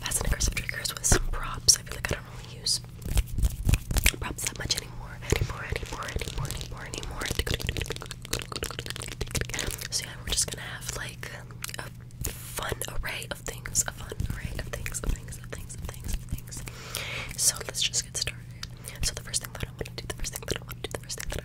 Fast and aggressive with some props. I feel like I don't really use props that much anymore. Anymore, anymore, anymore, anymore, anymore. So yeah, we're just gonna have like a fun array of things. A fun array of things, things, things, things, things. So let's just get started. So the first thing that I want to do, the first thing that I want to do, the first thing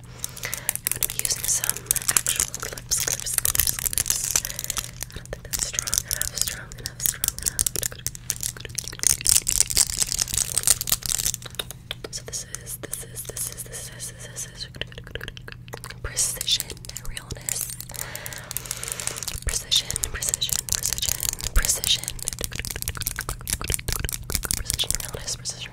I'm going to be using some actual clips, clips, clips, clips. I don't think that's strong enough, strong enough, strong enough. So this is, this is, this is, this is, this is precision, realness, precision, precision, precision, precision, precision, realness, precision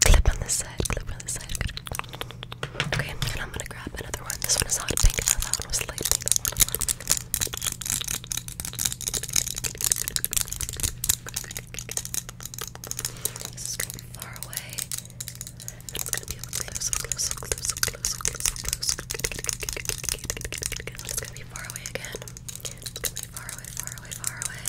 clip on this side, clip on this side. Okay, and I'm gonna grab another one. This one is hot pink, and that one was light pink. That one This is going far away. it's gonna be up close, up close, up close, up close, up close, close. It's gonna be far away again. far away, far away, far away.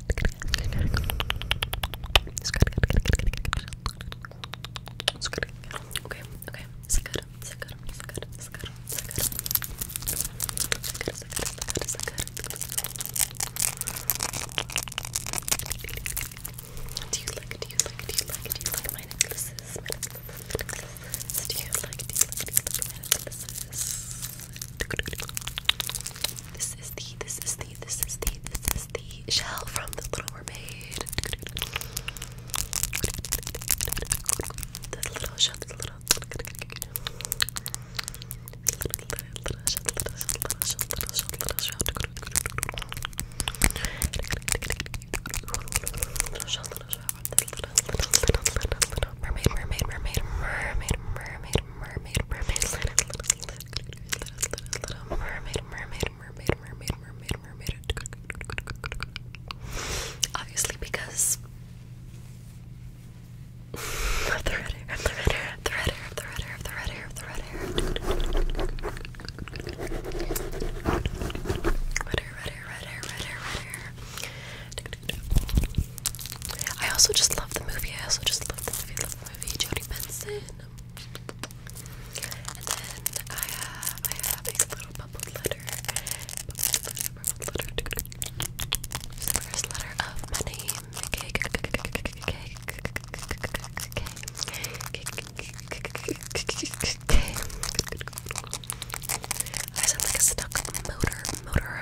do you like, do you like, do you like, do you like my necklaces? Do you like, do you like, do you like my necklaces? This is the, this is the this is the this is the shell from the Little Mermaid. The little shell, the little little shell, little shell, little shell, little shell, little shell. Little shell, little shell, little little little little mermaid, mermaid, mermaid, mermaid, mermaid, mermaid, mermaid, mermaid, little little mermaid, mermaid, mermaid, mermaid, mermaid, mermaid. Obviously, because the red hair, the red hair, the red hair, the red hair, the red hair, red hair. Red hair, red hair, red hair, I also just love the movie. I also just love the movie movie, Jodie Benson. And then I have, I have a little bubbled letter. the first letter of my name. K, K, K, K, K, K, K, I sound like a stuck motor, motor.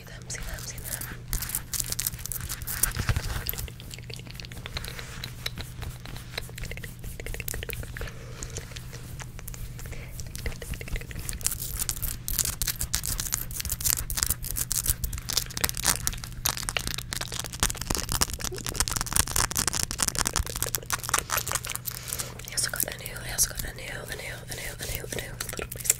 see them, see them, see them. I also got a new, I also got a new, a new, a new, a new, a new little piece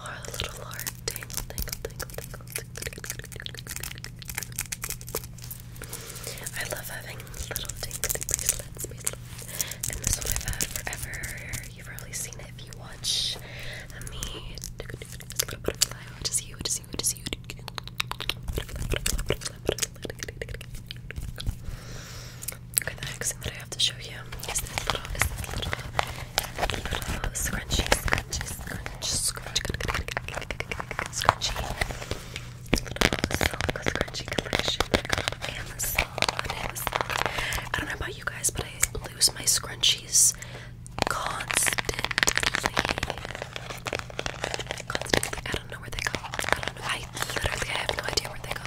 I love having little tingly bracelets, And this one I've had forever. You've probably seen it if you watch me. Okay, the next thing that I have to show you is this little Scrunchy, scrunchy, scrunch, scrunch, scrunchy. Little silk scrunchy collection. I got I don't know about you guys, but I lose my scrunchies constantly. Constantly. I don't know where they go. I don't know. I literally have no idea where they go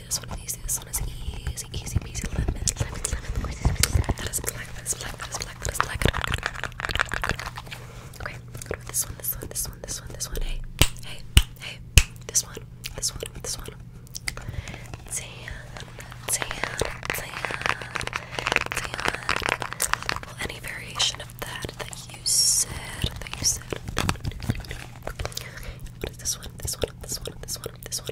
easy. This one is easy. This one is easy. Easy peasy. Lemon, lemon, lemon. That is black. That is black. That is black. That is black. Okay. This one. This one. This one. This one. This one. Hey. Hey. Hey. This one. This one. This one. Tan. Tan. Tan. Tan. Well, any variation of that that you said. That you said. Okay. What is this one? This one. This one. This one. This one.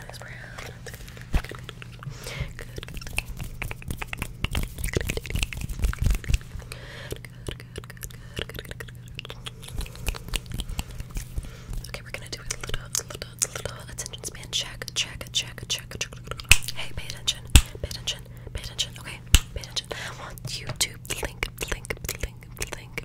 eyes brown. Good. Good. Good. Good. Good. Good. Good. Okay, we're gonna do a little, little, little attention span check, check, check, check, check. Hey, pay attention, pay attention, pay attention. Okay, pay attention. I want you to blink, blink, blink, blink,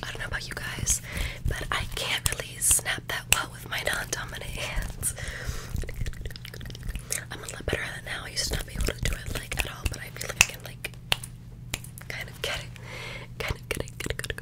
I don't know about you guys, but I can't really snap that well with my non-dominant hands. I'm a lot better at it I used to not be able to do it like at all, but I feel like I can like kind of get it, kind of get it, get it, get it,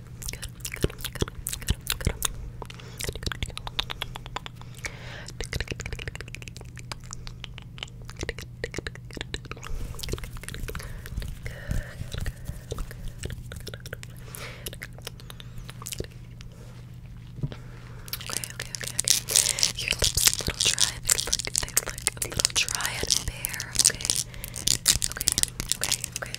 okay, okay. Your lips a little dry. They look, they look a little dry and bare. Okay. Okay. Okay. Okay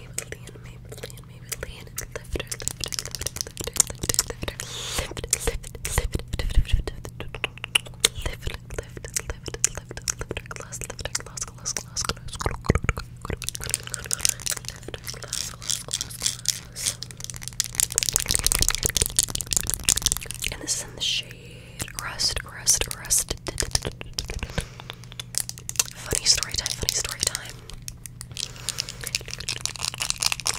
Maybelline, Maybelline, Maybelline, lifter, lifter, and this is in the shade Rust, Rust, Rust. Funny story time, funny story time.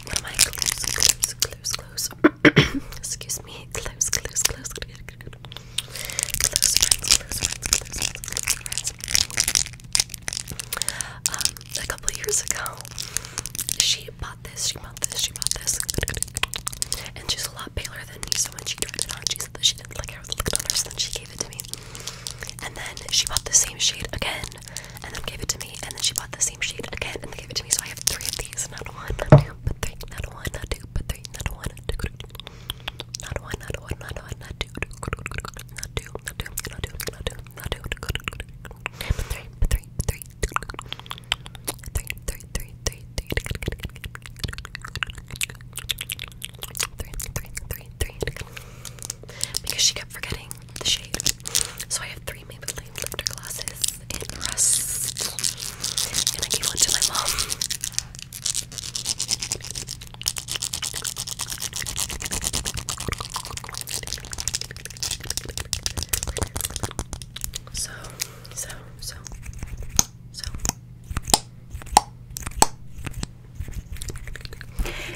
One of my close, close, close, close. Excuse me. Close, close, close, close, close friends, close friends, close friends, close friends. Um, a couple years ago, she bought this, she bought this, she bought this. And she's a lot paler than me, so when she turned it on, she said that she didn't like how it looked on her, gave it to me. And then she bought the same shade again, and then gave it to me, and then she bought the same shade again, and then gave it to me. So I have three of these, not one, not two, but three, not one, not two, but three, not one, not two, not one, not one, not one, not two, not two, not two, not two, not two, not two, but three, but three, but three, three, three, three, three, three, three, three, three, three, three, because she kept forgetting the shade. So I have three Maybelline lifter glasses in rust, and I gave one to my mom. So, so, so, so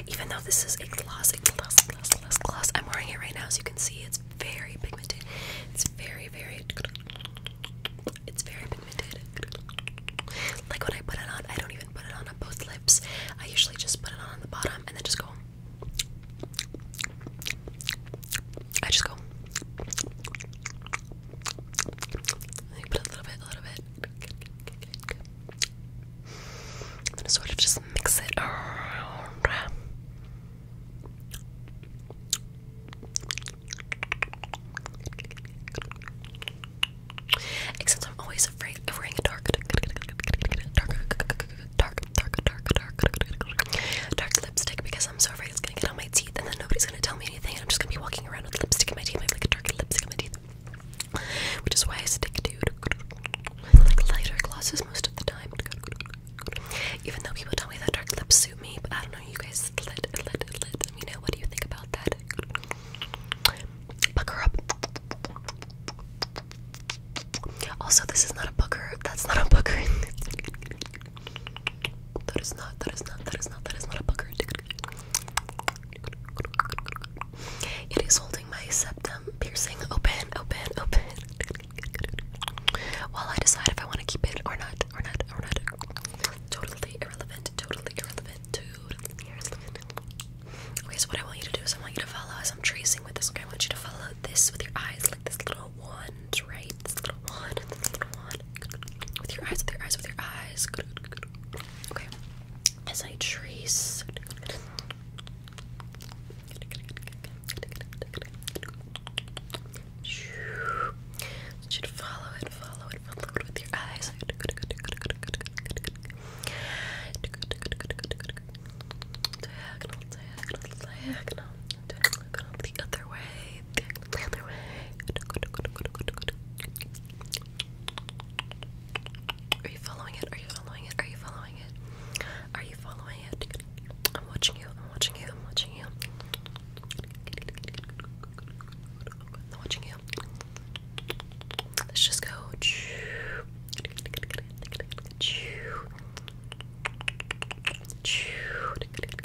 even though this is a gloss, a gloss, gloss, gloss, gloss, I'm wearing it right now, as you can see, it's very pigmented. It's very, very, it's very pigmented. Like when I put it on, I don't even put it on both lips. I usually just put it on the bottom and then just go. I just go. I'm gonna sort of just mix it Except I'm always afraid of wearing a dark, dark, dark, dark, dark, dark lipstick because I'm so afraid it's gonna get on my teeth and then nobody's gonna tell me I'm just gonna be walking around with lipstick in my teeth. I have like a dark lipstick in my teeth. Which is why I stick to like lighter glosses most of the time. Even though people tell me that dark lips suit me, but I don't know, you guys let let lit. Let me know what do you think about that. Pucker up. Also, this is not a booker. That's not a booker. That is not, that is not, that is not, that is not a booger. It is holding my septum piercing open, open, open. While I decide if I want to keep it or not, or not, or not. Totally irrelevant, totally irrelevant, totally irrelevant. Okay, so what I want you to do is I want you to follow as I'm tracing with this. Okay, I want you to follow this with your eyes, like this little wand, right? With your eyes, with your eyes, with your eyes. Okay. As I trace. Should follow it, follow it, follow it with your eyes. the other way. Are you following it? Are you following it? Are you following it? Are you following it? I'm watching you. I'm watching you. I'm watching you. I'm watching you. Let's just go.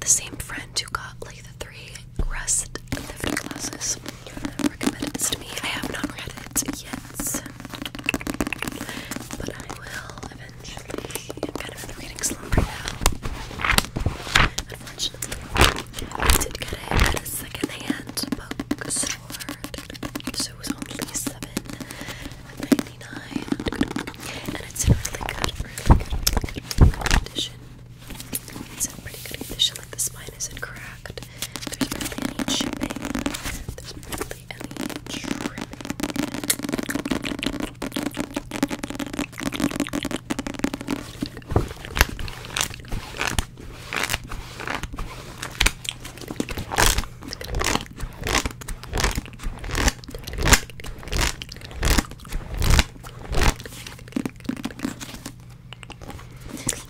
The same friend who got like the three rest lift classes recommended this to me. I have not read it yet, but I will eventually. I'm kind of now, I did get it at a secondhand bookstore, so it was only seven ninety nine, and it's in really good, really good, really good condition. It's in pretty good condition. Like the spine isn't cracked. There's barely any chipping. There's barely any trimming.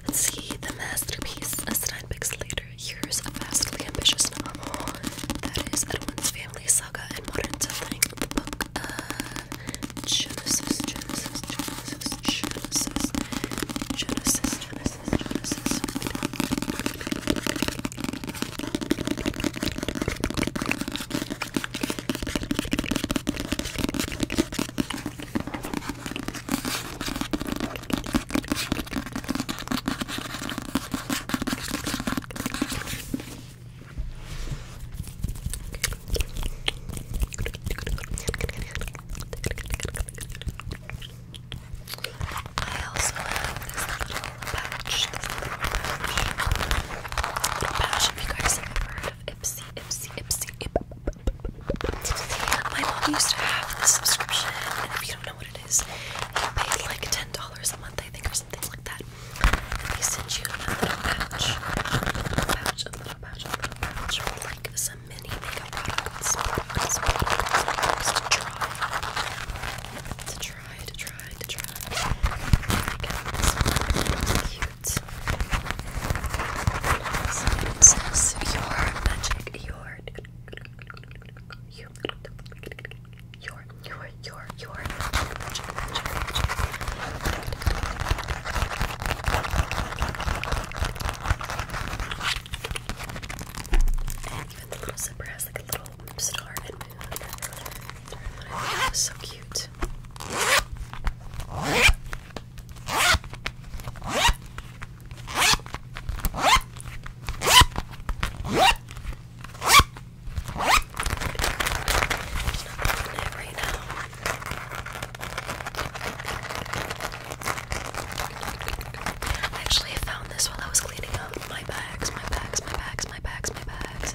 Let's see the masterpiece, a nine later, Here's a vastly ambitious novel that is Edwin's family saga and modern of The book of Genesis, Genesis, Genesis, Genesis, Genesis, Genesis, Genesis. I also have this little pouch, this little pouch, little pouch if you guys have ever heard of Ipsy, Ipsy, Ipsy, Ipsy. My mom used to have this subscription, and if you don't know what it is, you pay like $10 a month, I think, or something like that. And they send you a little pouch, a pouch of little little pouch, a little pouch with like some mini makeup products, products, products to try, to try, to try, to try. Like it's cute. So it says your magic, your, your, your, your, your, your and even the little zipper has like a little star and moon. That was so cute. There's nothing in it right now. I actually found this while I was cleaning up my bags, my bags, my bags, my bags, my bags.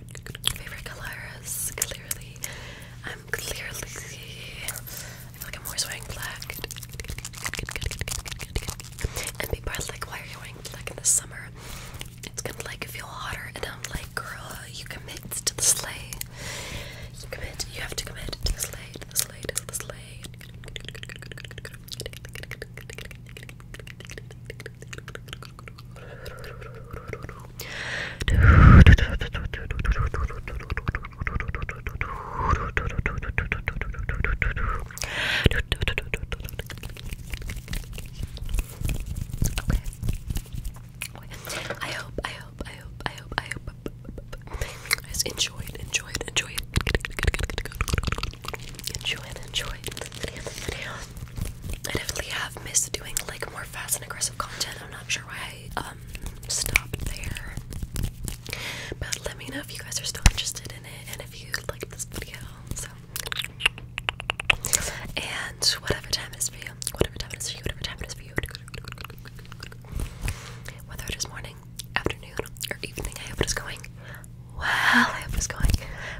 favorite colors, clearly. I'm clearly. I feel like I'm always wearing black. And people are like, why are you wearing black in the summer? It's gonna like feel hotter. And I'm like, girl, you commit to the sleigh. You commit, you have to commit to the sleigh, to the sleigh, to the sleigh. Okay. I hope, I hope, I hope, I hope, I hope I just enjoy it, enjoy it, enjoy it. Enjoy it, enjoy it. I definitely have missed doing like more fast and aggressive content. I'm not sure why I um, stopped there. But let me know if you guys are still interested in it and if you like this video. So and whatever time it is for you, whatever time it is for you, whatever time it is for you. Whether it is morning, afternoon, or evening, I hope it is going well. I hope it is going